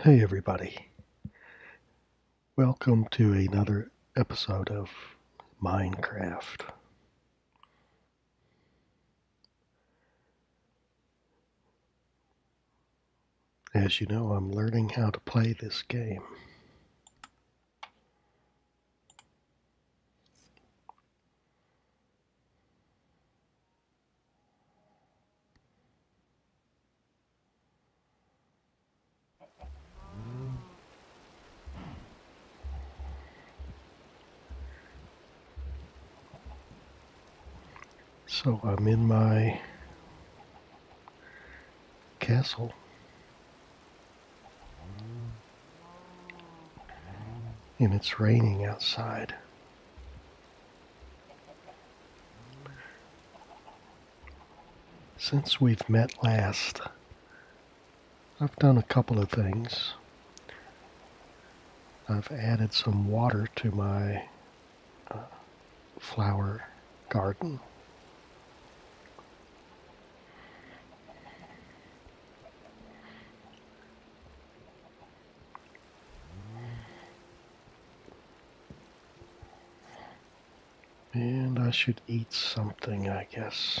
Hey, everybody. Welcome to another episode of Minecraft. As you know, I'm learning how to play this game. So I'm in my castle. And it's raining outside. Since we've met last, I've done a couple of things. I've added some water to my uh, flower garden. And I should eat something, I guess.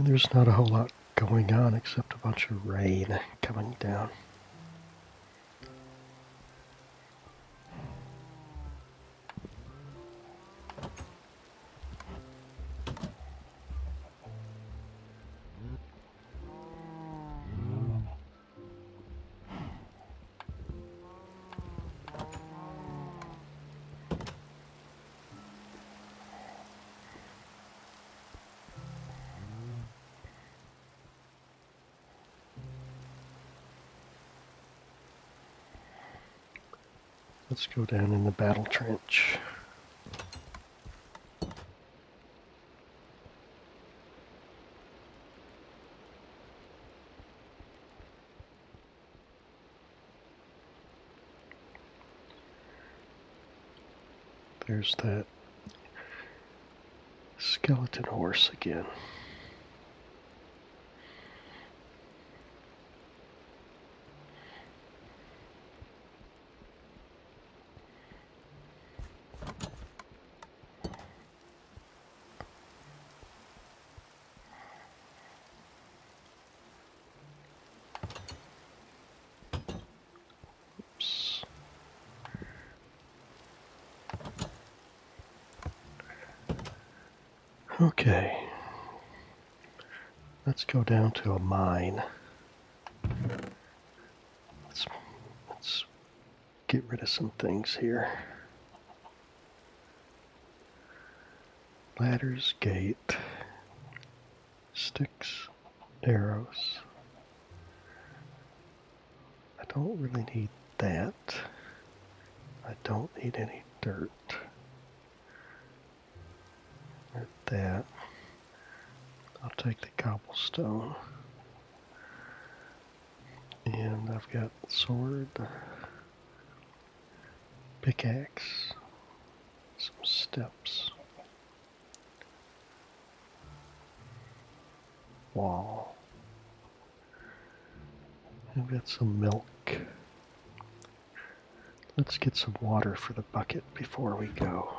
there's not a whole lot going on except a bunch of rain coming down. Let's go down in the battle trench. There's that skeleton horse again. Oops. Okay, let's go down to a mine. Let's, let's get rid of some things here. Ladder's gate, sticks, arrows. I don't really need that. I don't need any dirt. at that. I'll take the cobblestone. And I've got sword, pickaxe, some steps, wall. I've got some milk. Let's get some water for the bucket before we go.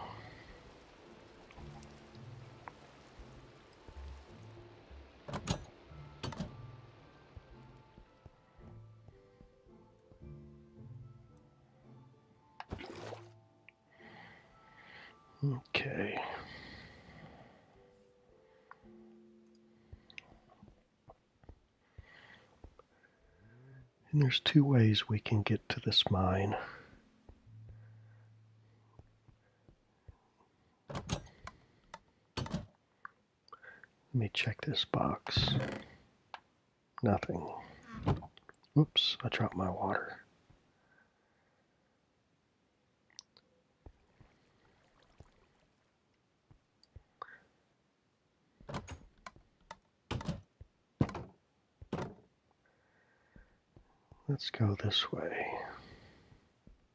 Okay. And there's two ways we can get to this mine. Let me check this box. Nothing. Oops, I dropped my water. Let's go this way.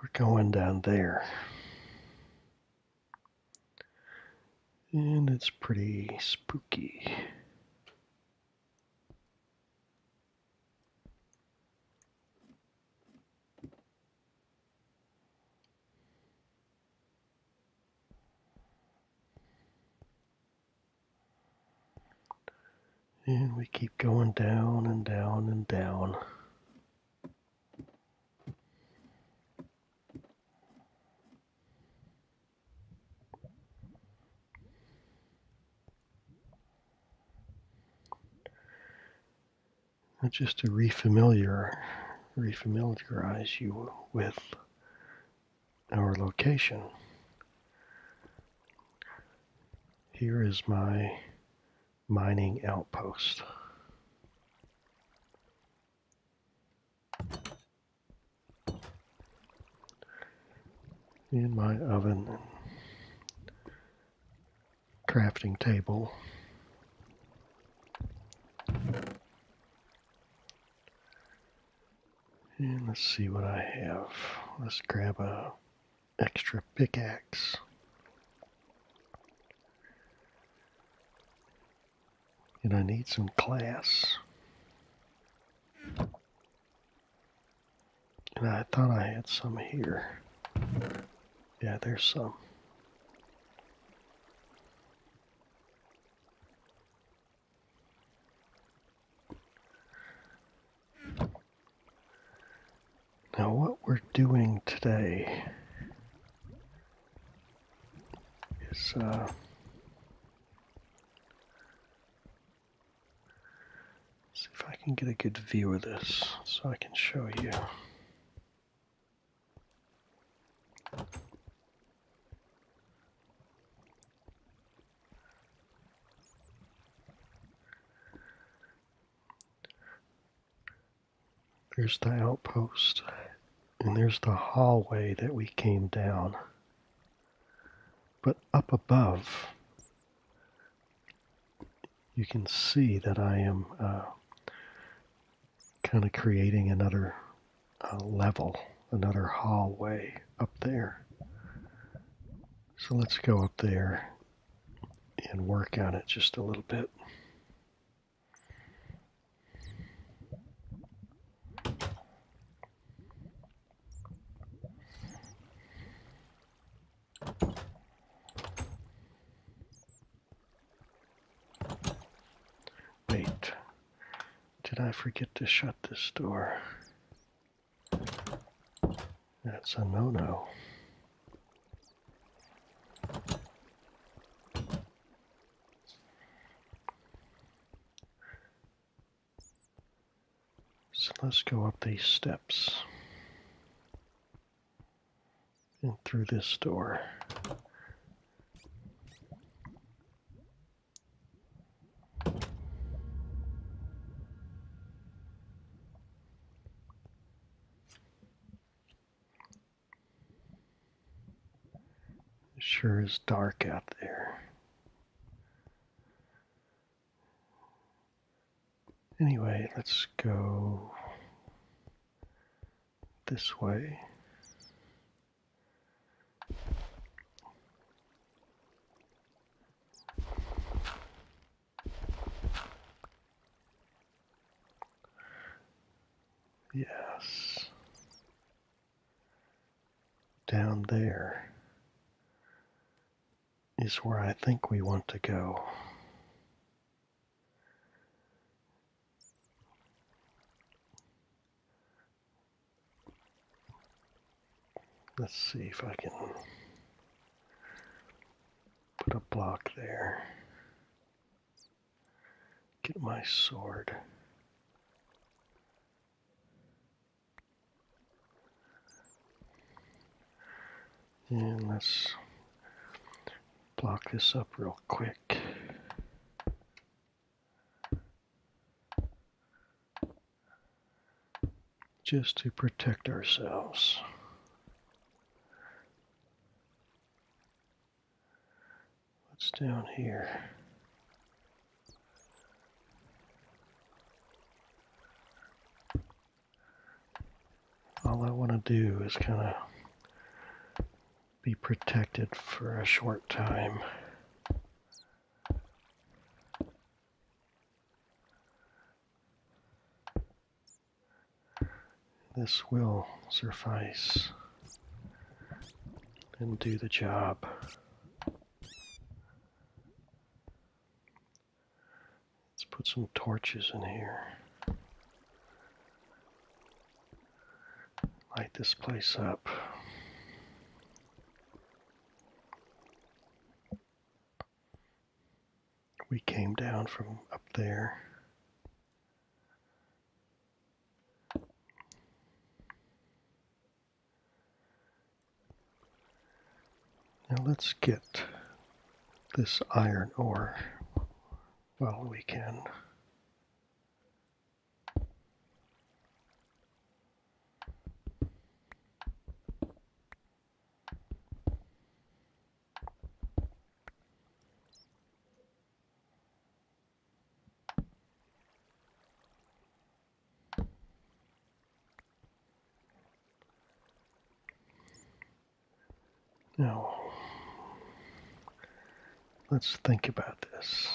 We're going down there. And it's pretty spooky. And we keep going down and down and down. just to refamiliarize you with our location. Here is my mining outpost. In my oven crafting table. And let's see what I have. Let's grab a extra pickaxe. And I need some class. And I thought I had some here. Yeah, there's some. Now, what we're doing today is uh, see if I can get a good view of this so I can show you. There's the outpost, and there's the hallway that we came down. But up above, you can see that I am uh, kind of creating another uh, level, another hallway up there. So let's go up there and work on it just a little bit. Wait, did I forget to shut this door? That's a no-no. So let's go up these steps and through this door sure is dark out there. Anyway, let's go this way. Yes. Down there is where I think we want to go. Let's see if I can put a block there. Get my sword. And let's block this up real quick just to protect ourselves. What's down here? All I want to do is kind of be protected for a short time. This will suffice and do the job. Let's put some torches in here. Light this place up we came down from up there. Now let's get this iron ore while we can. Now, let's think about this.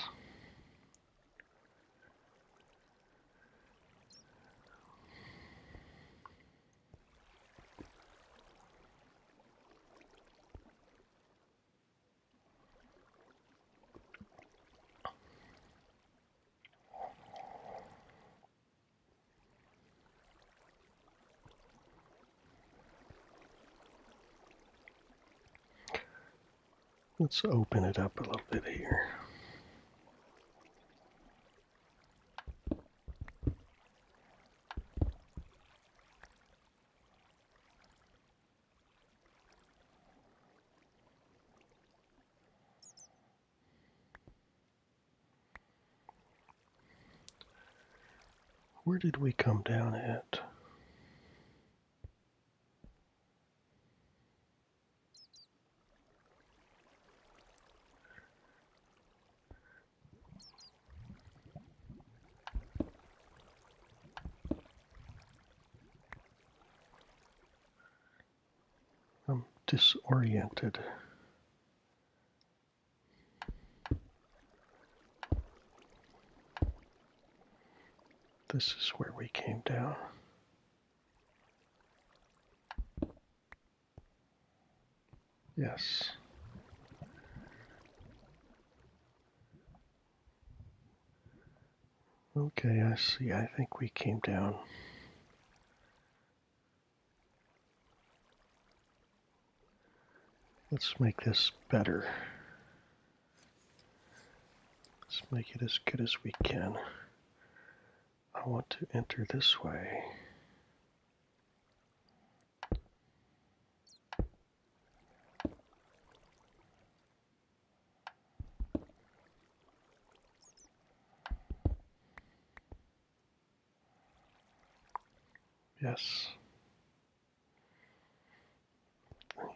Let's open it up a little bit here. Where did we come down at? I'm disoriented. This is where we came down. Yes. Okay, I see. I think we came down. Let's make this better. Let's make it as good as we can. I want to enter this way. Yes.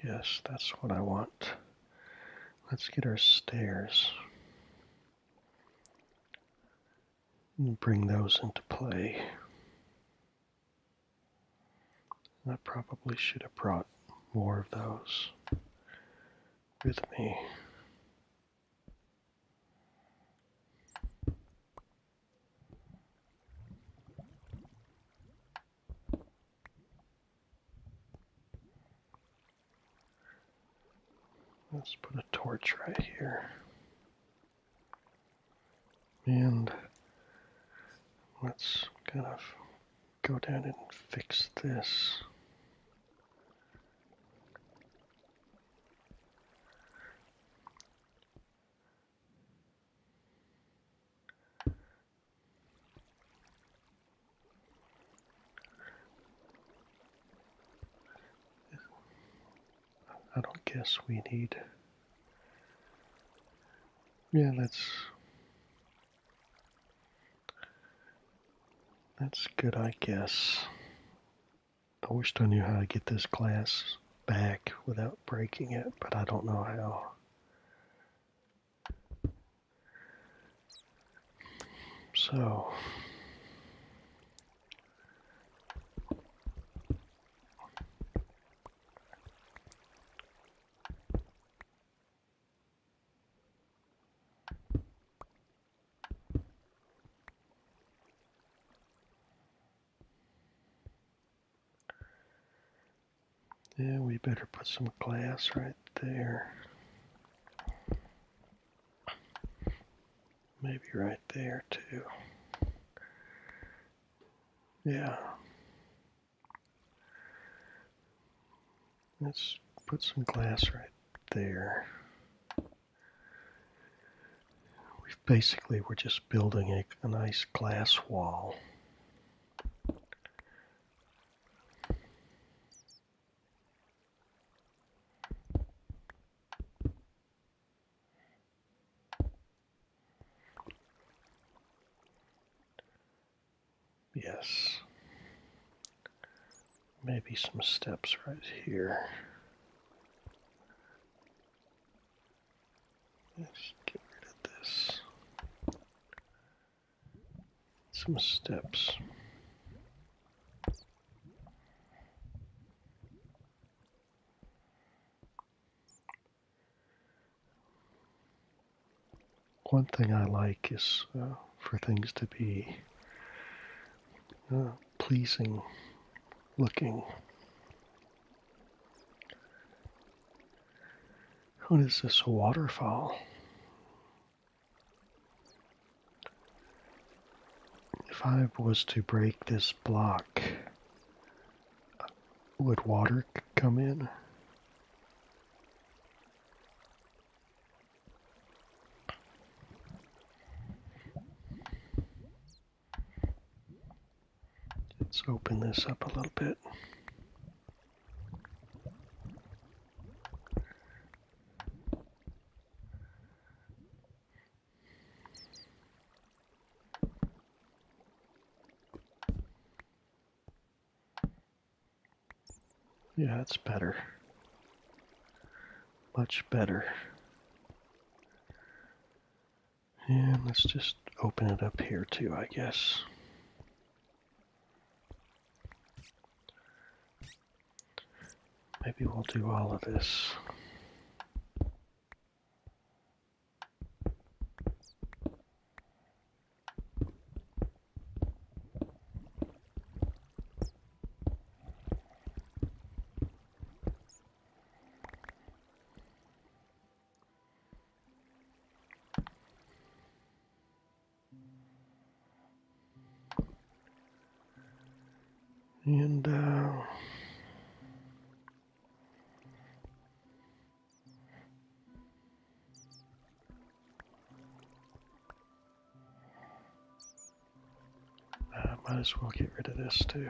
Yes, that's what I want. Let's get our stairs and bring those into play. I probably should have brought more of those with me. Let's put a torch right here. And let's kind of go down and fix this. I don't guess we need. Yeah, that's That's good, I guess. I wish I knew how to get this glass back without breaking it, but I don't know how. So. Yeah, we better put some glass right there. Maybe right there too. Yeah. Let's put some glass right there. We've basically, we're just building a, a nice glass wall. Yes. Maybe some steps right here. Let's get rid of this. Some steps. One thing I like is uh, for things to be uh, pleasing looking. What is this waterfall? If I was to break this block, would water come in? Let's open this up a little bit. Yeah, it's better. Much better. And let's just open it up here too, I guess. Maybe we'll do all of this. And uh, I might as well get rid of this too.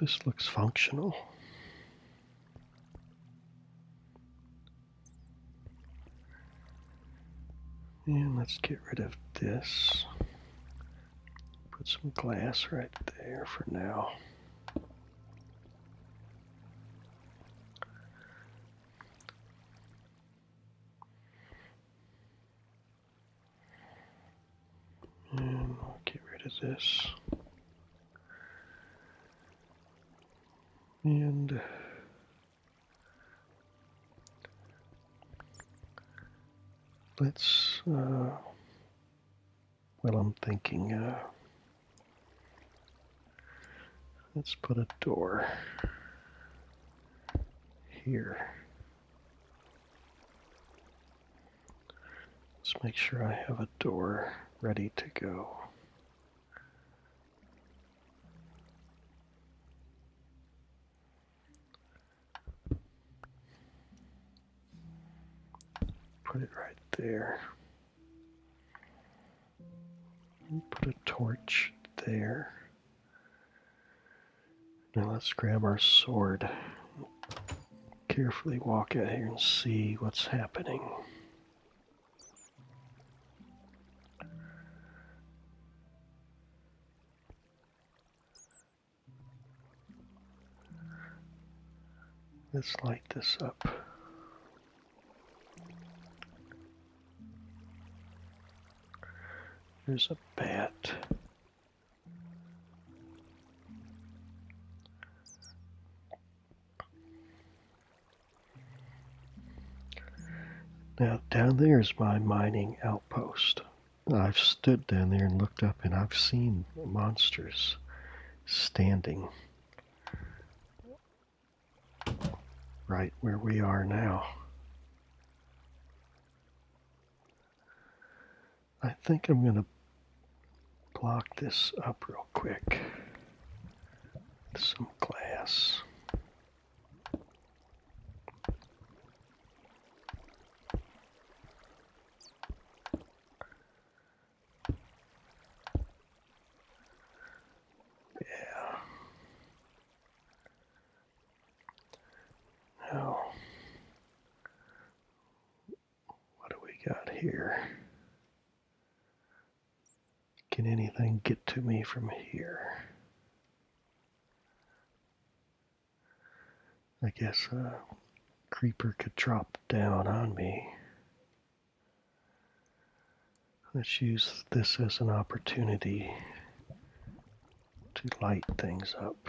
This looks functional. And let's get rid of this. Put some glass right there for now. And get rid of this. And let's, uh, well, I'm thinking, uh, let's put a door here. Let's make sure I have a door ready to go. Put it right there. And put a torch there. Now let's grab our sword carefully walk out here and see what's happening. Let's light this up. There's a bat. Now, down there is my mining outpost. I've stood down there and looked up, and I've seen monsters standing right where we are now. I think I'm going to block this up real quick with some glass what do we got here? Can anything get to me from here? I guess a creeper could drop down on me. Let's use this as an opportunity to light things up.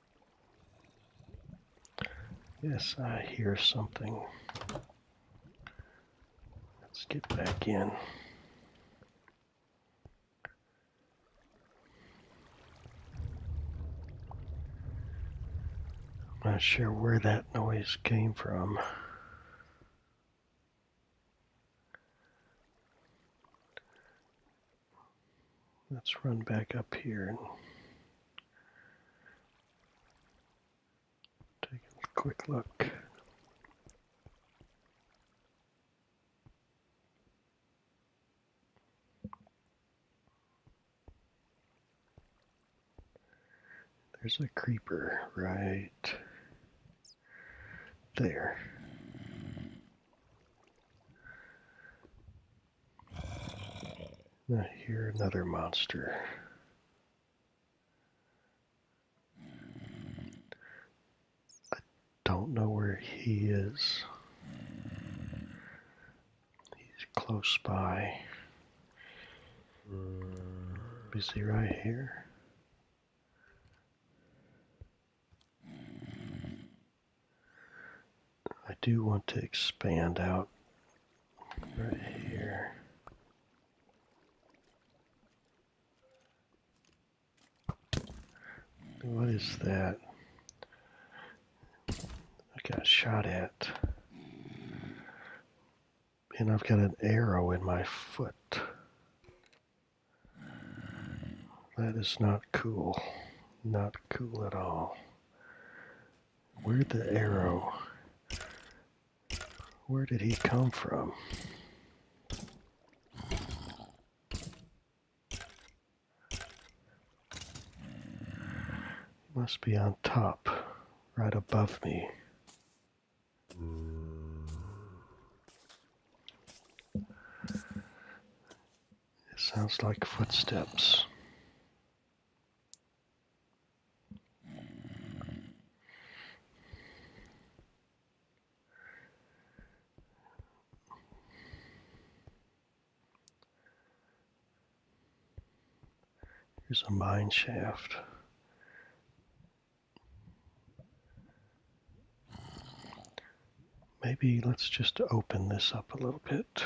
Yes, I hear something. Let's get back in. I'm not sure where that noise came from let's run back up here and take a quick look. There's a creeper right there. Now here another monster. I don't know where he is. He's close by. Is he right here? I do want to expand out right here. What is that? I got shot at. And I've got an arrow in my foot. That is not cool. Not cool at all where the arrow? Where did he come from? Must be on top, right above me. It sounds like footsteps. Here's a mine shaft. Maybe let's just open this up a little bit.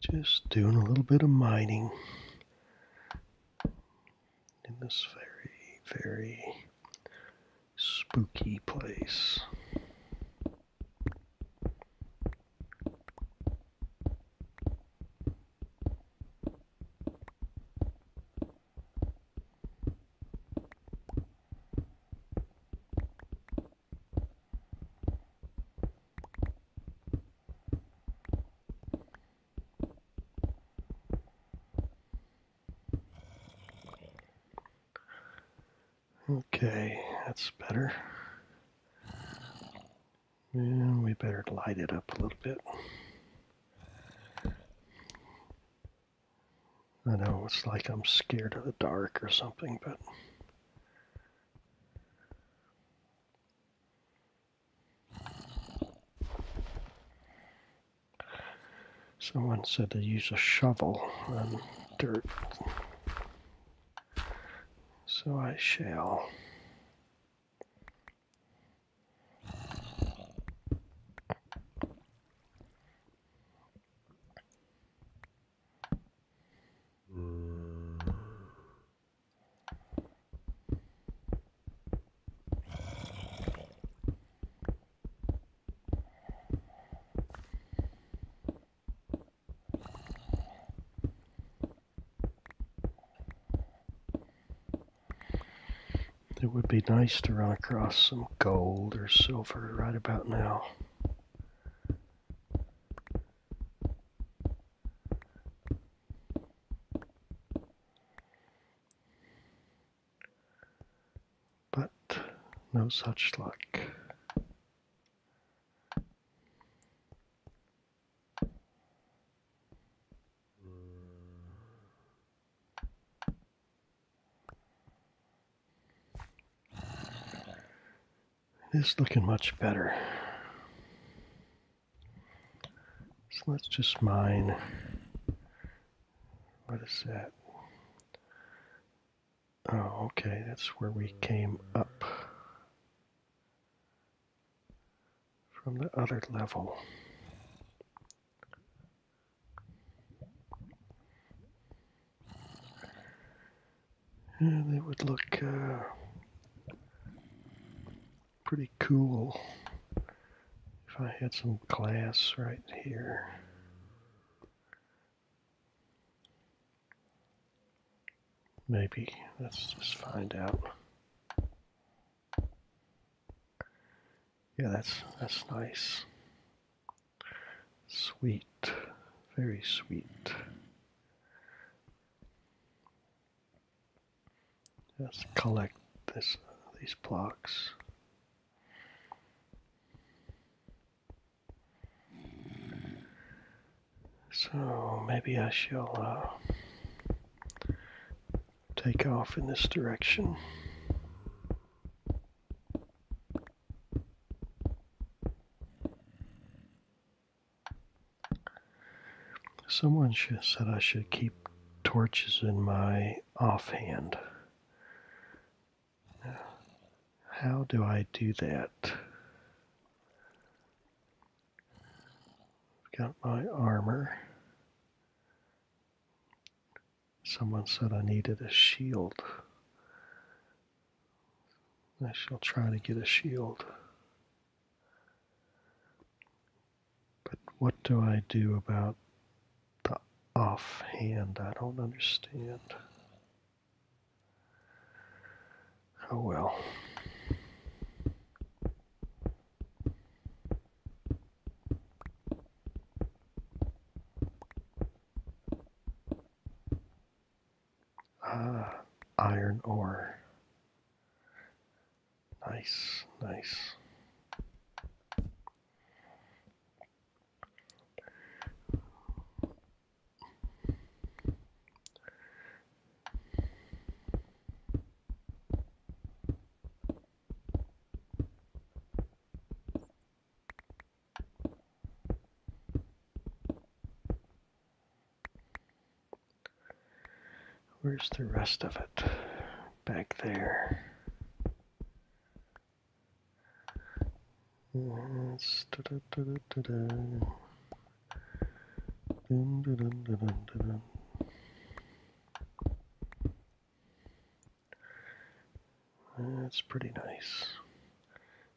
Just doing a little bit of mining in this very, very spooky place. Okay, that's better. And we better light it up a little bit. I know it's like I'm scared of the dark or something, but. Someone said to use a shovel and dirt. So I shall. It would be nice to run across some gold or silver right about now. But no such luck. This looking much better. So let's just mine. What is that? Oh, okay, that's where we came up from the other level. And it would look uh, pretty cool if I had some glass right here. Maybe. Let's just find out. Yeah, that's that's nice. Sweet, very sweet. Let's collect this these blocks. So maybe I shall uh, take off in this direction. Someone said I should keep torches in my offhand. How do I do that? I've got my armor. Someone said I needed a shield. I shall try to get a shield. But what do I do about the offhand? I don't understand. Oh well. Ah, iron ore. Nice, nice. Where's the rest of it? Back there. That's pretty nice.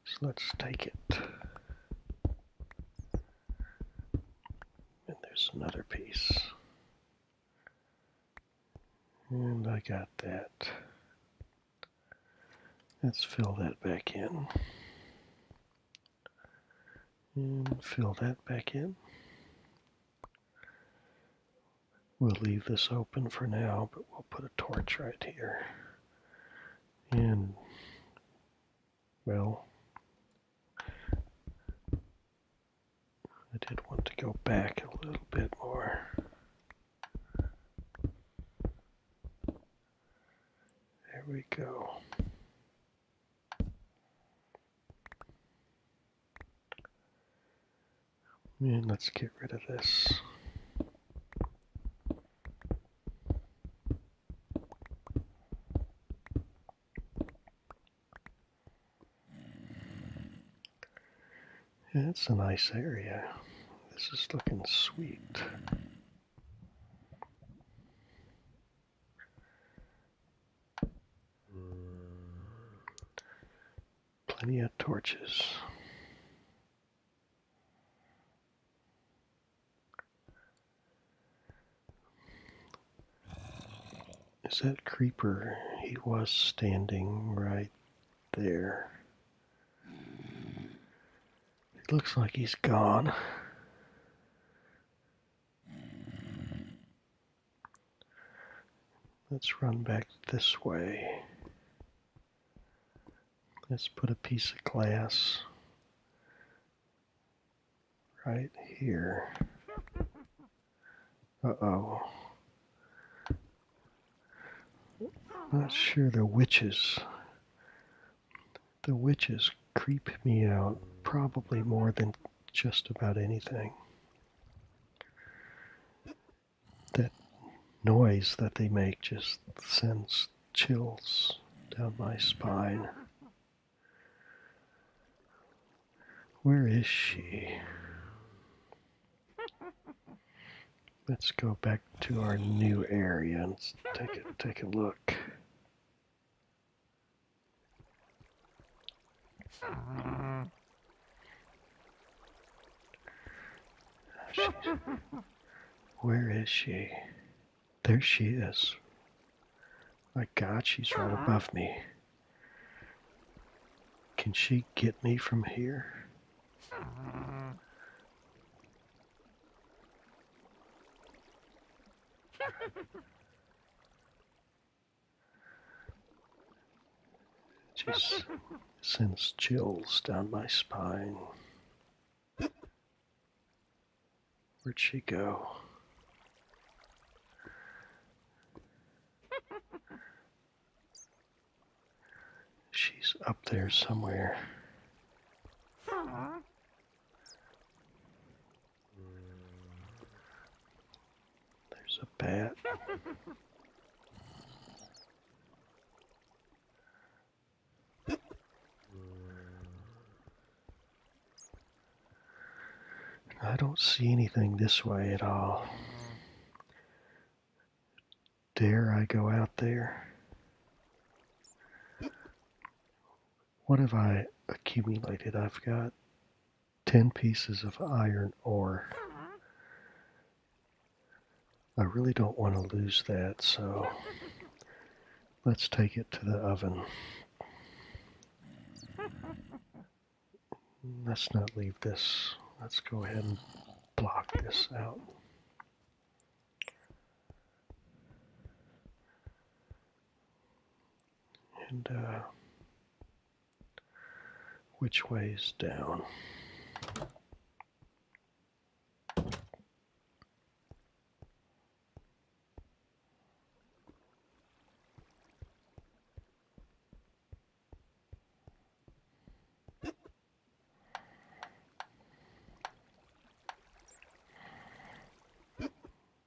So let's take it. And there's another piece. And I got that. Let's fill that back in. And fill that back in. We'll leave this open for now, but we'll put a torch right here. And, well, I did want to go back a little bit more. There we go. And let's get rid of this. That's a nice area. This is looking sweet. Hmm. Plenty of torches. Is that creeper? He was standing right there. It looks like he's gone. Let's run back this way. Let's put a piece of glass right here. Uh-oh. Not sure the witches. The witches creep me out probably more than just about anything that noise that they make just sends chills down my spine. Where is she? Let's go back to our new area and take a, take a look where is she? There she is. My God, she's right above me. Can she get me from here? Just sends chills down my spine. Where'd she go? She's up there somewhere. There's a bat. I don't see anything this way at all. Dare I go out there? What have I accumulated? I've got 10 pieces of iron ore. I really don't want to lose that, so let's take it to the oven. Let's not leave this. Let's go ahead and block this out. And uh, which way is down?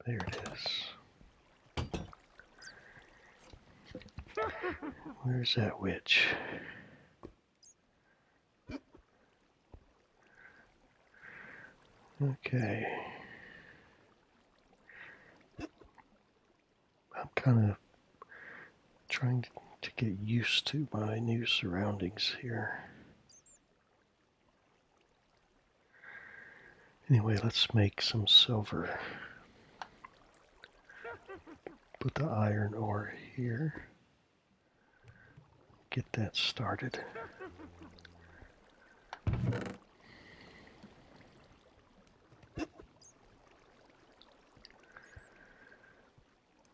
There it is. Where's that witch? Okay. I'm kind of trying to, get used to my new surroundings here. Anyway, let's make some silver. Put the iron ore here get that started.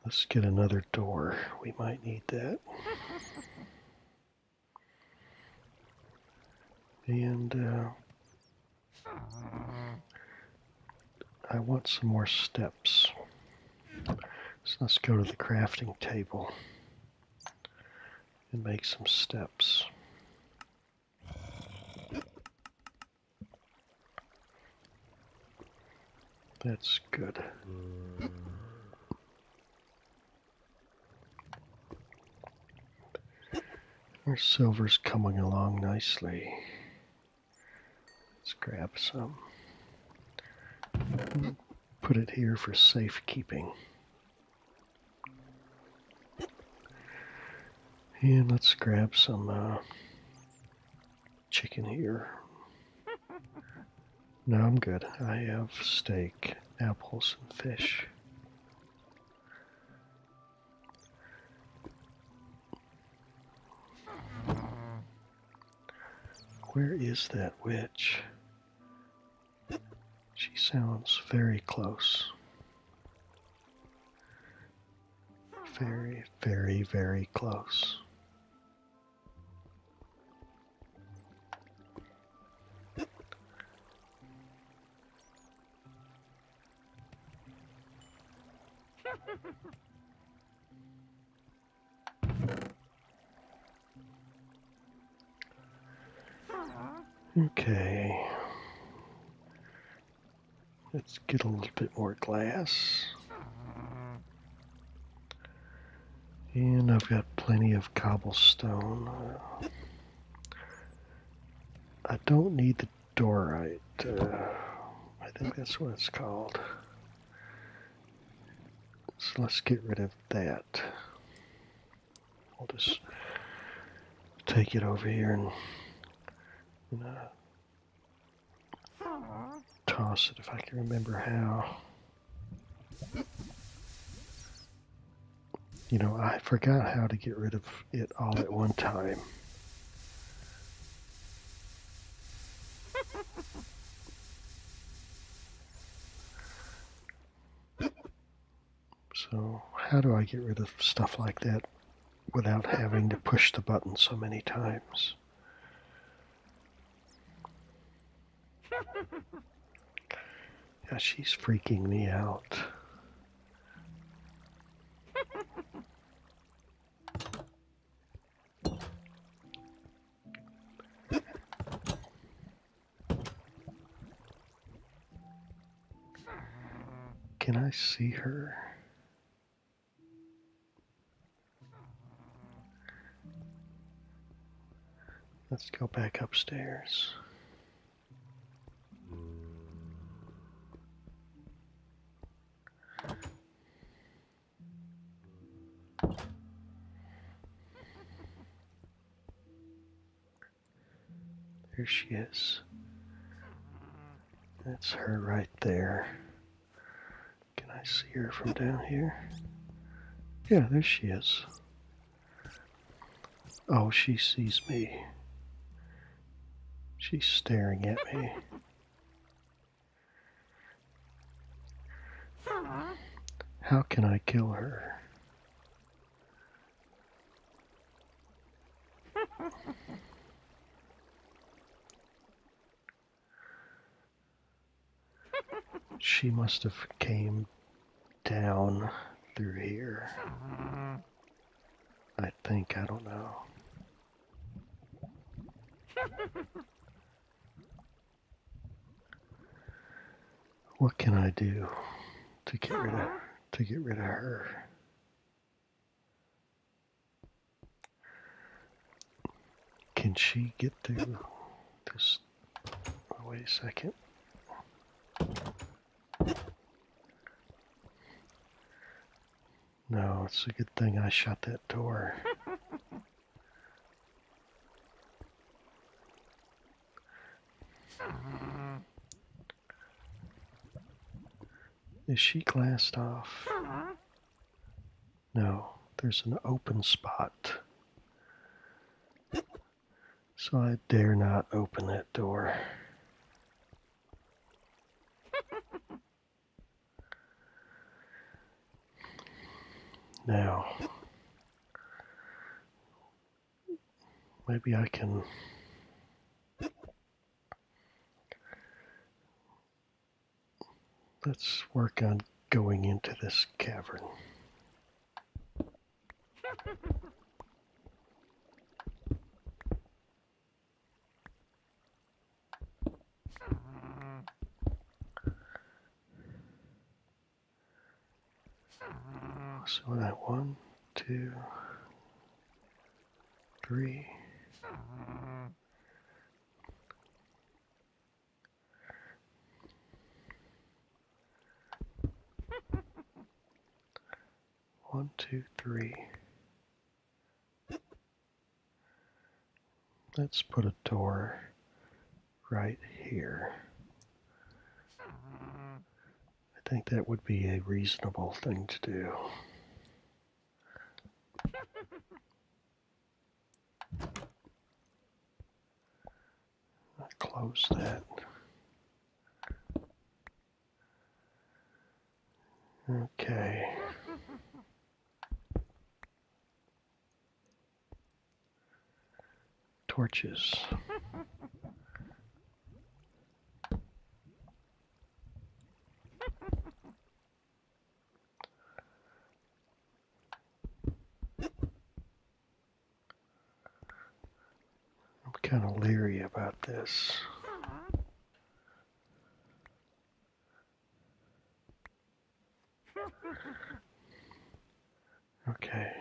Let's get another door. We might need that. And uh, I want some more steps. So let's go to the crafting table and make some steps. That's good. Our silver's coming along nicely. Let's grab some. Put it here for safekeeping. And let's grab some uh, chicken here. No, I'm good. I have steak, apples, and fish. Where is that witch? She sounds very close. Very, very, very close. Okay. Let's get a little bit more glass. And I've got plenty of cobblestone. I don't need the doorite. Uh, I think that's what it's called. So let's get rid of that. I'll just take it over here and, toss it if I can remember how. You know, I forgot how to get rid of it all at one time so how do I get rid of stuff like that without having to push the button so many times? Yeah, she's freaking me out. Can I see her? Let's go back upstairs. There she is. That's her right there. Can I see her from down here? Yeah, there she is. Oh, she sees me. She's staring at me. How can I kill her? she must have came down through here. I think, I don't know. what can I do to get rid of to get rid of her? Can she get through? this? Oh, wait a second. No, it's a good thing I shut that door. Is she glassed off? No, there's an open spot. So I dare not open that door. Now, maybe I can let's work on going into this cavern. So what one, two, three. One, two, three. Let's put a door right here. I think that would be a reasonable thing to do. close that. Okay. Torches. I'm kind of leery about this. Okay.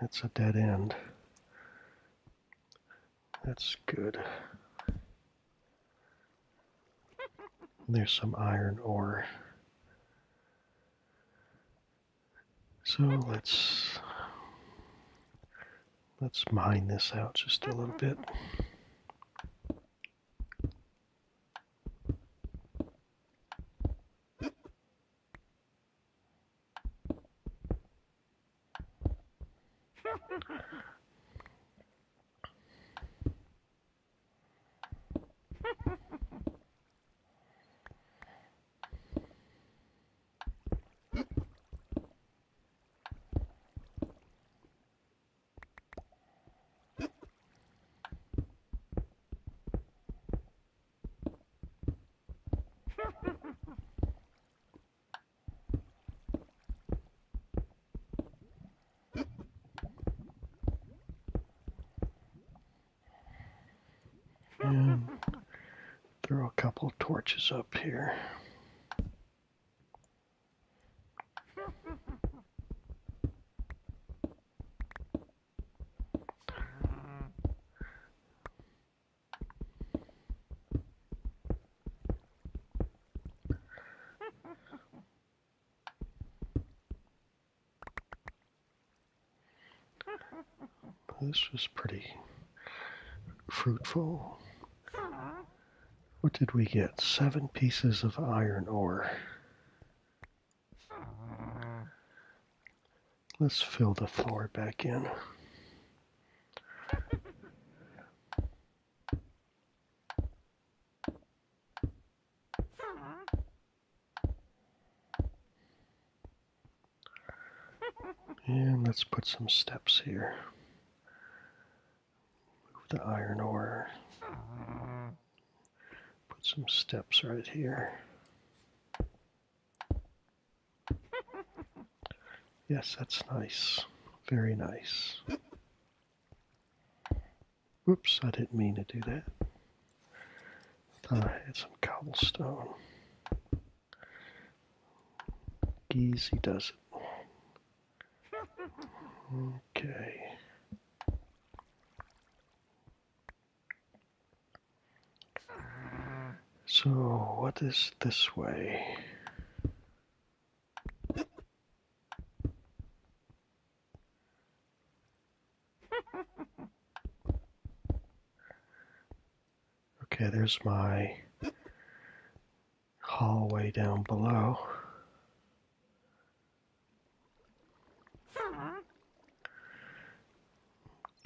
That's a dead end. That's good. There's some iron ore. So let's let's mine this out just a little bit and throw a couple torches up here. This was pretty fruitful. What did we get? Seven pieces of iron ore. Let's fill the floor back in. And let's put some steps here. Move the iron ore. Put some steps right here. Yes, that's nice. Very nice. Oops, I didn't mean to do that. I had some cobblestone. he does it. Okay. So, what is this way? Okay, there's my hallway down below.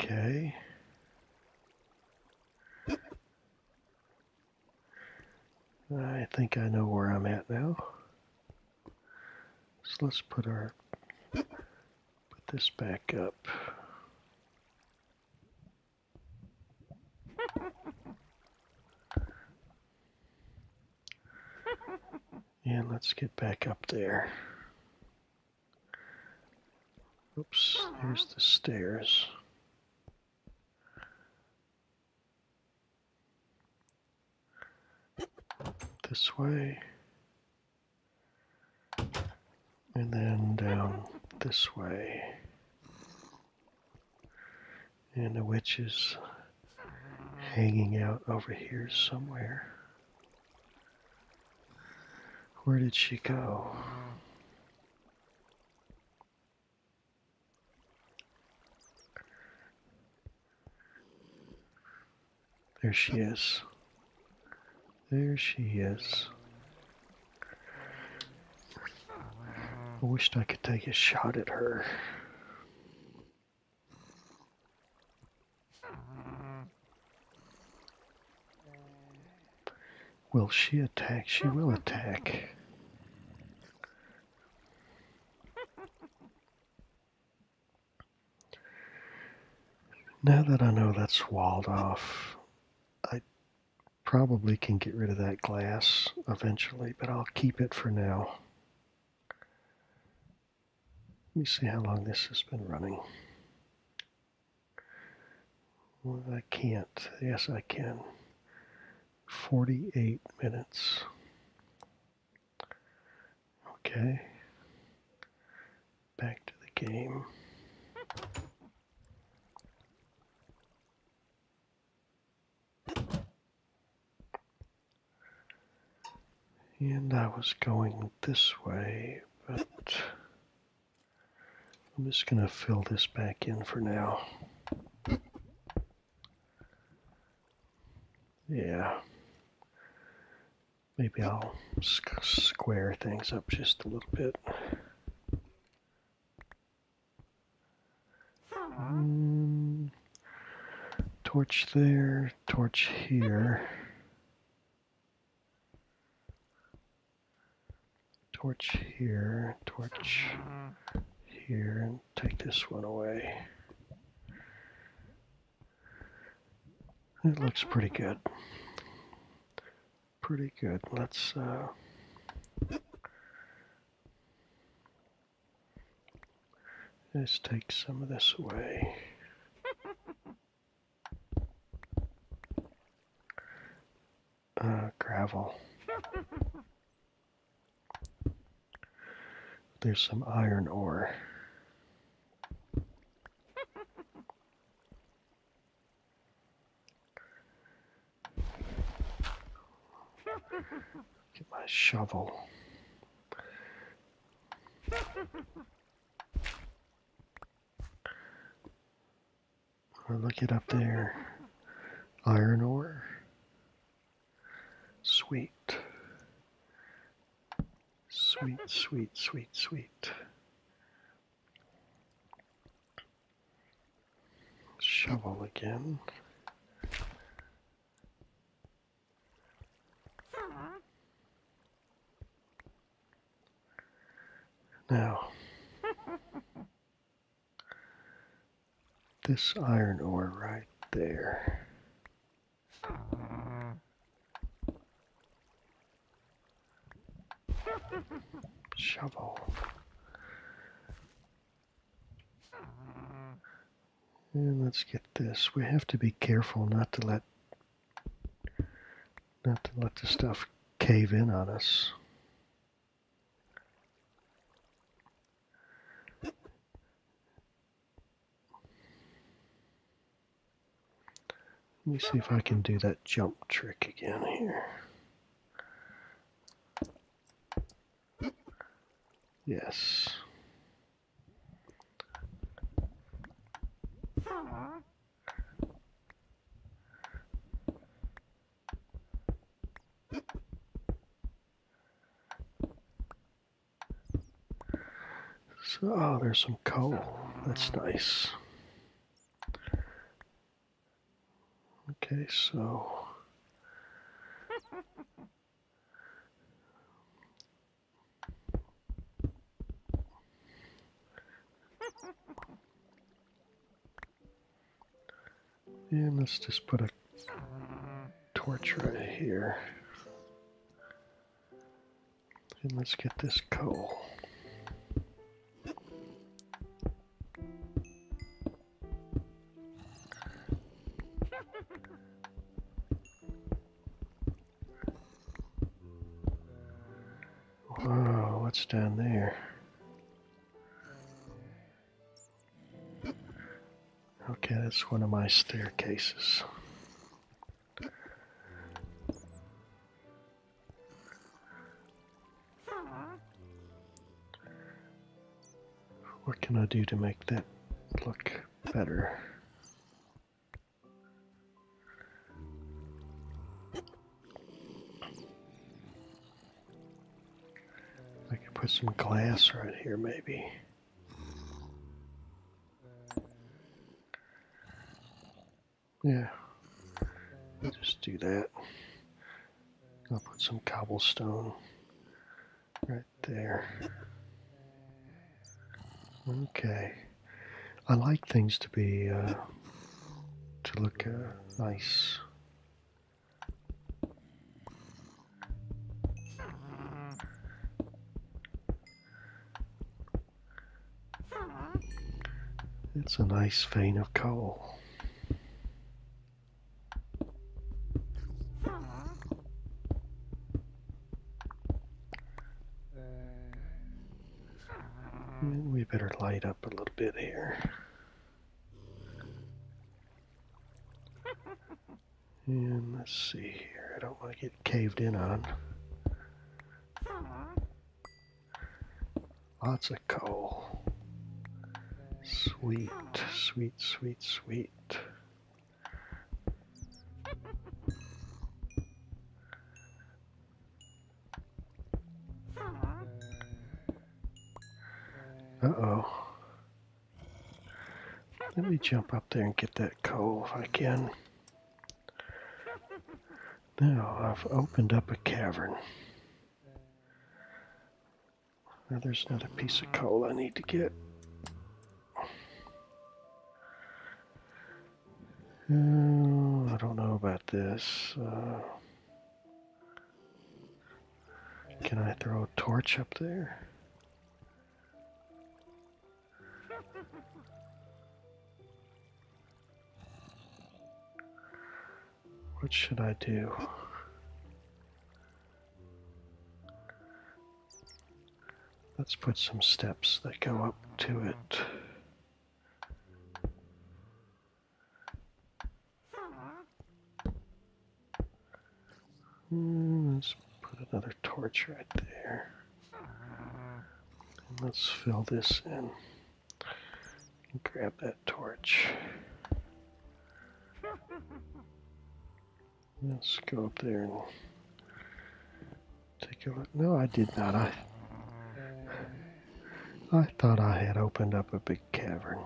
Okay. I think I know where I'm at now. So let's put our put this back up. And let's get back up there. Oops, there's the stairs. This way. And then down this way. And the witch is hanging out over here somewhere. Where did she go? There she is. There she is. I wished I could take a shot at her. Will she attack? She will attack. Now that I know that's walled off, I probably can get rid of that glass eventually, but I'll keep it for now. Let me see how long this has been running. I can't. Yes, I can. 48 minutes. Okay. Back to the game. And I was going this way, but I'm just going to fill this back in for now. Yeah. Maybe I'll square things up just a little bit. Hmm. torch there, torch here. Torch here, torch here, and take this one away. It looks pretty good. Pretty good. Let's uh, Let's take some of this away. Uh, gravel. There's some iron ore. Get my shovel. look it up there. Iron ore. Sweet. Sweet, sweet, sweet, sweet. Shovel again. Now, this iron ore right there. Shovel. And let's get this. We have to be careful not to let not to let the stuff cave in on us. Let me see if I can do that jump trick again here. Yes. So, oh, there's some coal. That's nice. Okay, so and let's just put a torch right here. And let's get this coal. Wow, what's down there? Okay, that's one of my staircases. What can I do to make that look better? I could put some glass right here, maybe. Yeah, just do that. I'll put some cobblestone right there. Okay. I like things to be, uh, to look uh, nice. It's a nice vein of coal. We better light up a little bit here. And let's see here. I don't want to get caved in on. Lots of coal. Sweet, sweet sweet, sweet, Uh-oh. Let me jump up there and get that coal if I can. Now, I've opened up a cavern. Now there's another piece of coal I need to get. Hmm, I don't know about this. Uh, can I throw a torch up there? What should I do? Let's put some steps that go up to it. Hmm, let's put another torch right there. let's fill this in. Grab that torch. Let's go up there and take a look. No, I did not. I I thought I had opened up a big cavern.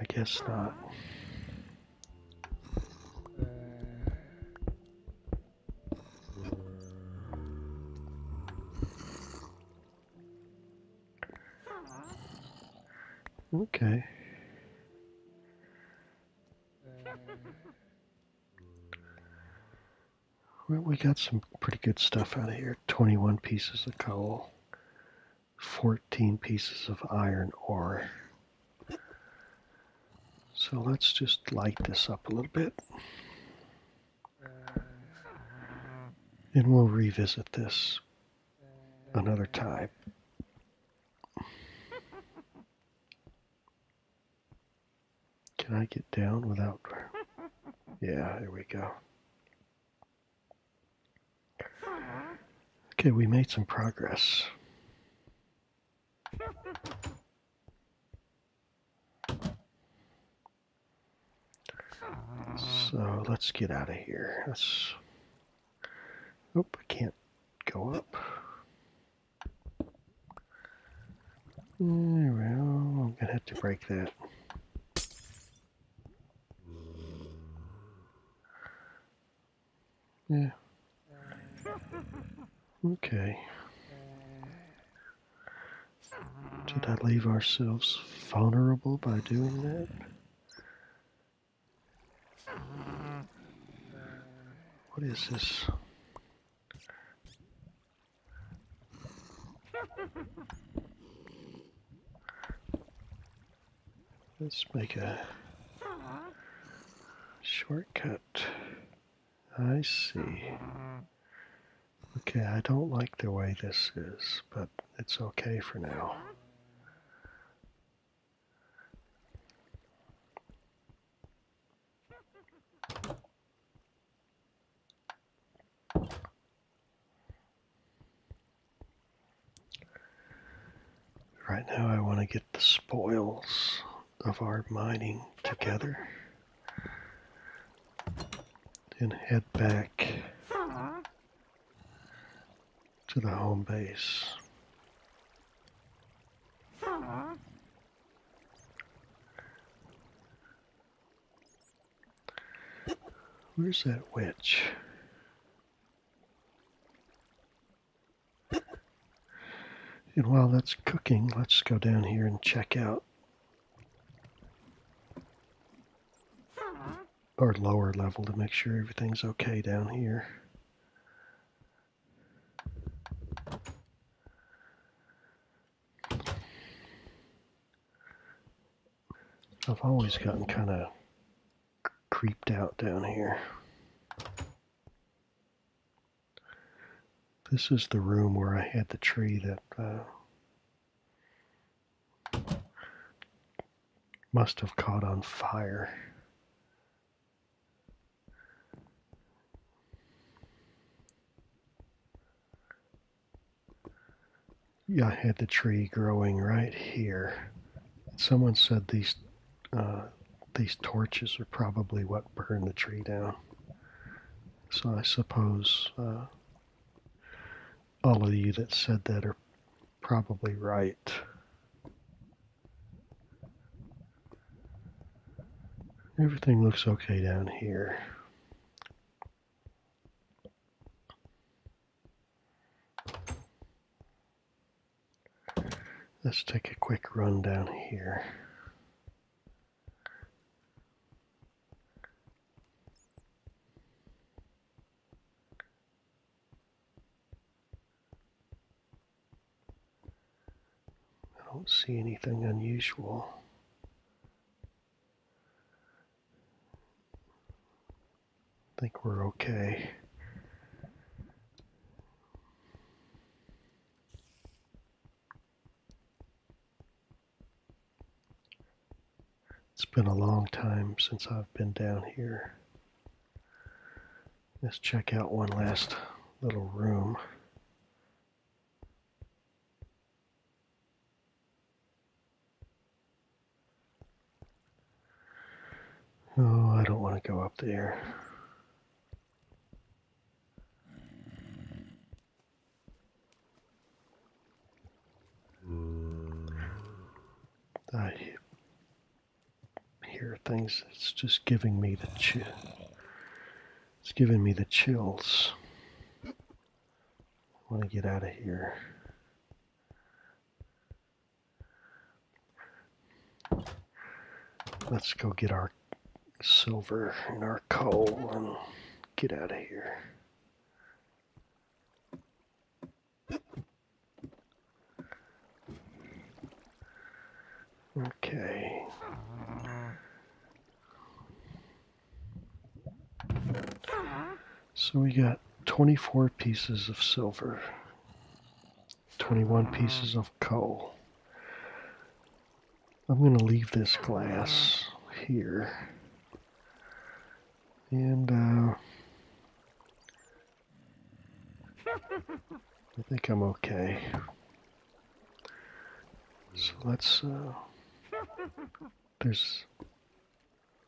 I guess not. Okay. we got some pretty good stuff out of here. 21 pieces of coal, 14 pieces of iron ore. So let's just light this up a little bit. Uh, and we'll revisit this another time. Can I get down without... Yeah, here we go. Okay, we made some progress. So let's get out of here. Let's. Oh, I can't go up. Eh, well, I'm gonna have to break that. Yeah. Okay. Did I leave ourselves vulnerable by doing that? What is this? Let's make a shortcut. I see. Okay, I don't like the way this is, but it's okay for now. Right now I want to get the spoils of our mining together and head back to the home base. Where's that witch? And while that's cooking, let's go down here and check out or lower level to make sure everything's okay down here. I've always gotten kind of creeped out down here. This is the room where I had the tree that uh, must have caught on fire. Yeah, I had the tree growing right here. Someone said these uh, these torches are probably what burned the tree down. So I suppose uh, all of you that said that are probably right. Everything looks okay down here. Let's take a quick run down here. I don't see anything unusual. I think we're okay. It's been a long time since I've been down here. Let's check out one last little room. Oh, I don't want to go up there. Mm. I hear things. It's just giving me the chills. It's giving me the chills. I want to get out of here. Let's go get our silver and our coal and get out of here. Okay. So we got 24 pieces of silver, 21 pieces of coal. I'm going to leave this glass here. And uh, I think I'm okay. So let's. Uh, there's.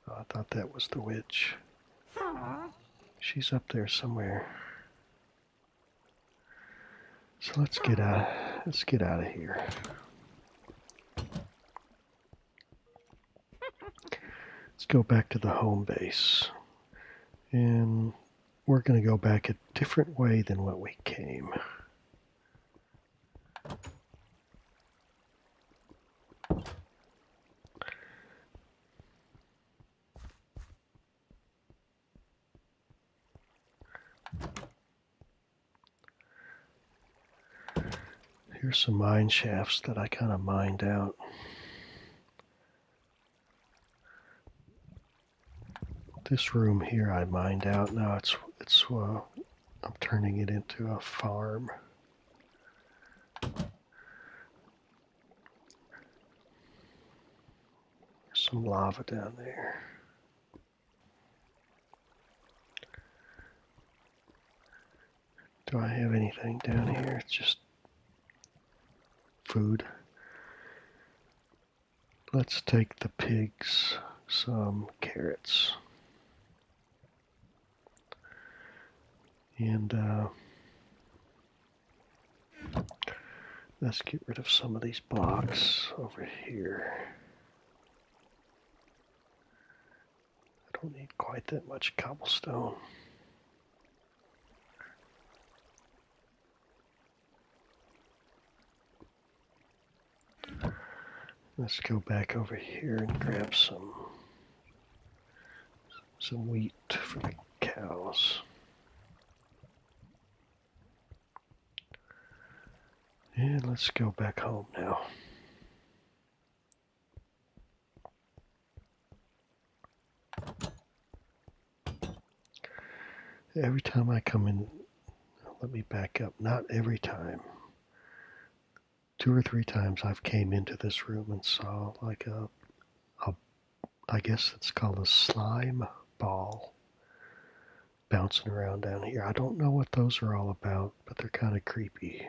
Oh, I thought that was the witch. She's up there somewhere. So let's get out. Let's get out of here. Let's go back to the home base. And we're going to go back a different way than what we came. Here's some mine shafts that I kind of mined out. This room here I mined out. Now it's it's uh, I'm turning it into a farm. There's some lava down there. Do I have anything down here? It's just food. Let's take the pigs some carrots. And uh, let's get rid of some of these blocks over here. I don't need quite that much cobblestone. Let's go back over here and grab some some wheat for the cows. And let's go back home now. Every time I come in, let me back up. Not every time. Two or three times I've came into this room and saw like a, a I guess it's called a slime ball bouncing around down here. I don't know what those are all about, but they're kind of creepy.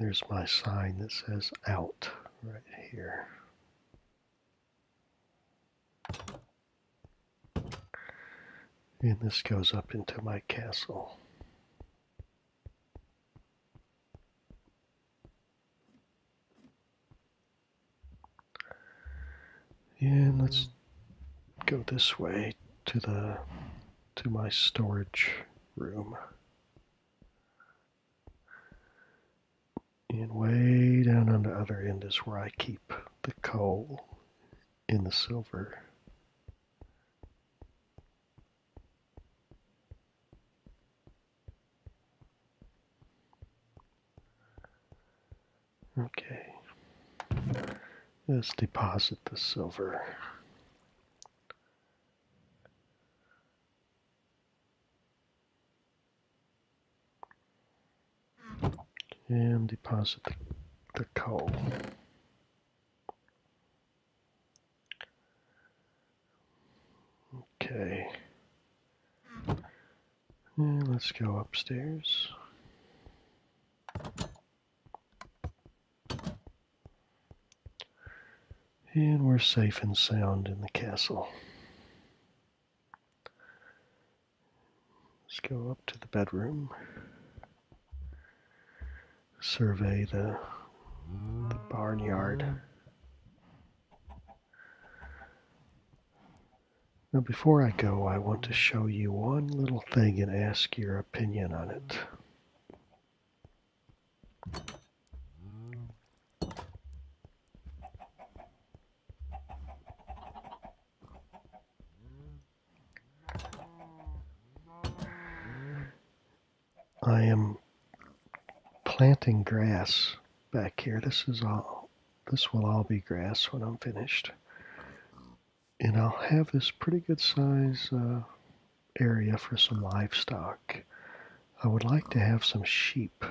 There's my sign that says out right here. And this goes up into my castle. And let's go this way to the to my storage room. And way down on the other end is where I keep the coal and the silver. Okay, let's deposit the silver and deposit the, the coal. Okay. Now let's go upstairs. And we're safe and sound in the castle. Let's go up to the bedroom. Survey the, barnyard. Now, before I go, I want to show you one little thing and ask your opinion on it. I am planting grass back here. This is all, this will all be grass when I'm finished. And I'll have this pretty good size uh, area for some livestock. I would like to have some sheep,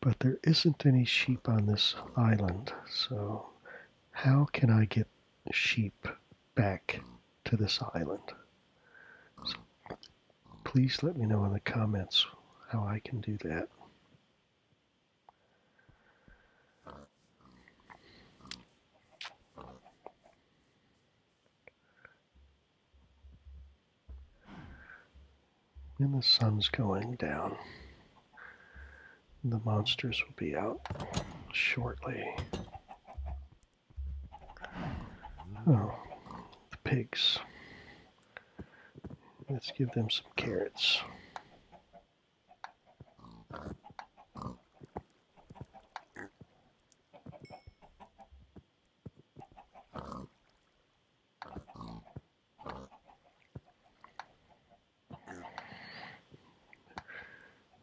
but there isn't any sheep on this island, so how can I get sheep back to this island? So please let me know in the comments how I can do that. When the sun's going down, the monsters will be out shortly. Oh, the pigs. Let's give them some carrots.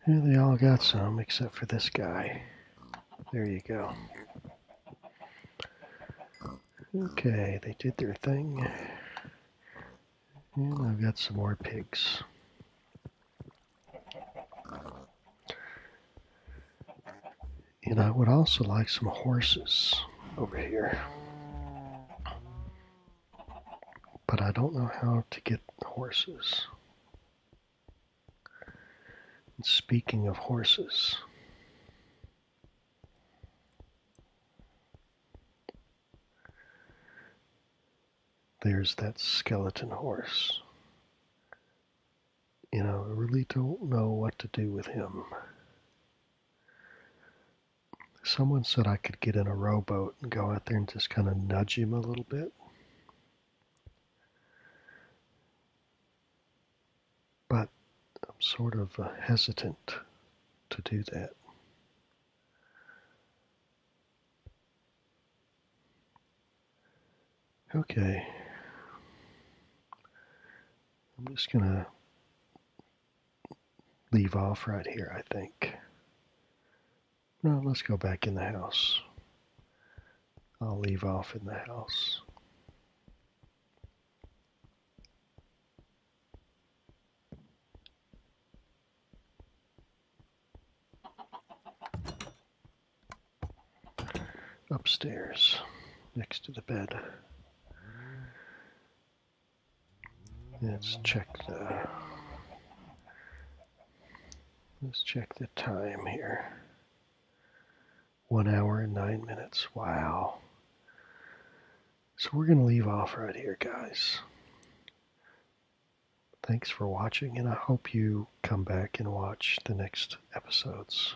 Yeah, they all got some except for this guy. There you go. Okay, they did their thing. And I've got some more pigs. And I would also like some horses over here. But I don't know how to get horses. speaking of horses, there's that skeleton horse you know, I really don't know what to do with him. Someone said I could get in a rowboat and go out there and just kind of nudge him a little bit. But I'm sort of uh, hesitant to do that. Okay. I'm just going to leave off right here, I think. Now let's go back in the house. I'll leave off in the house upstairs next to the bed. Let's check the let's check the time here. One hour and nine minutes. Wow. So we're gonna leave off right here, guys. Thanks for watching, and I hope you come back and watch the next episodes.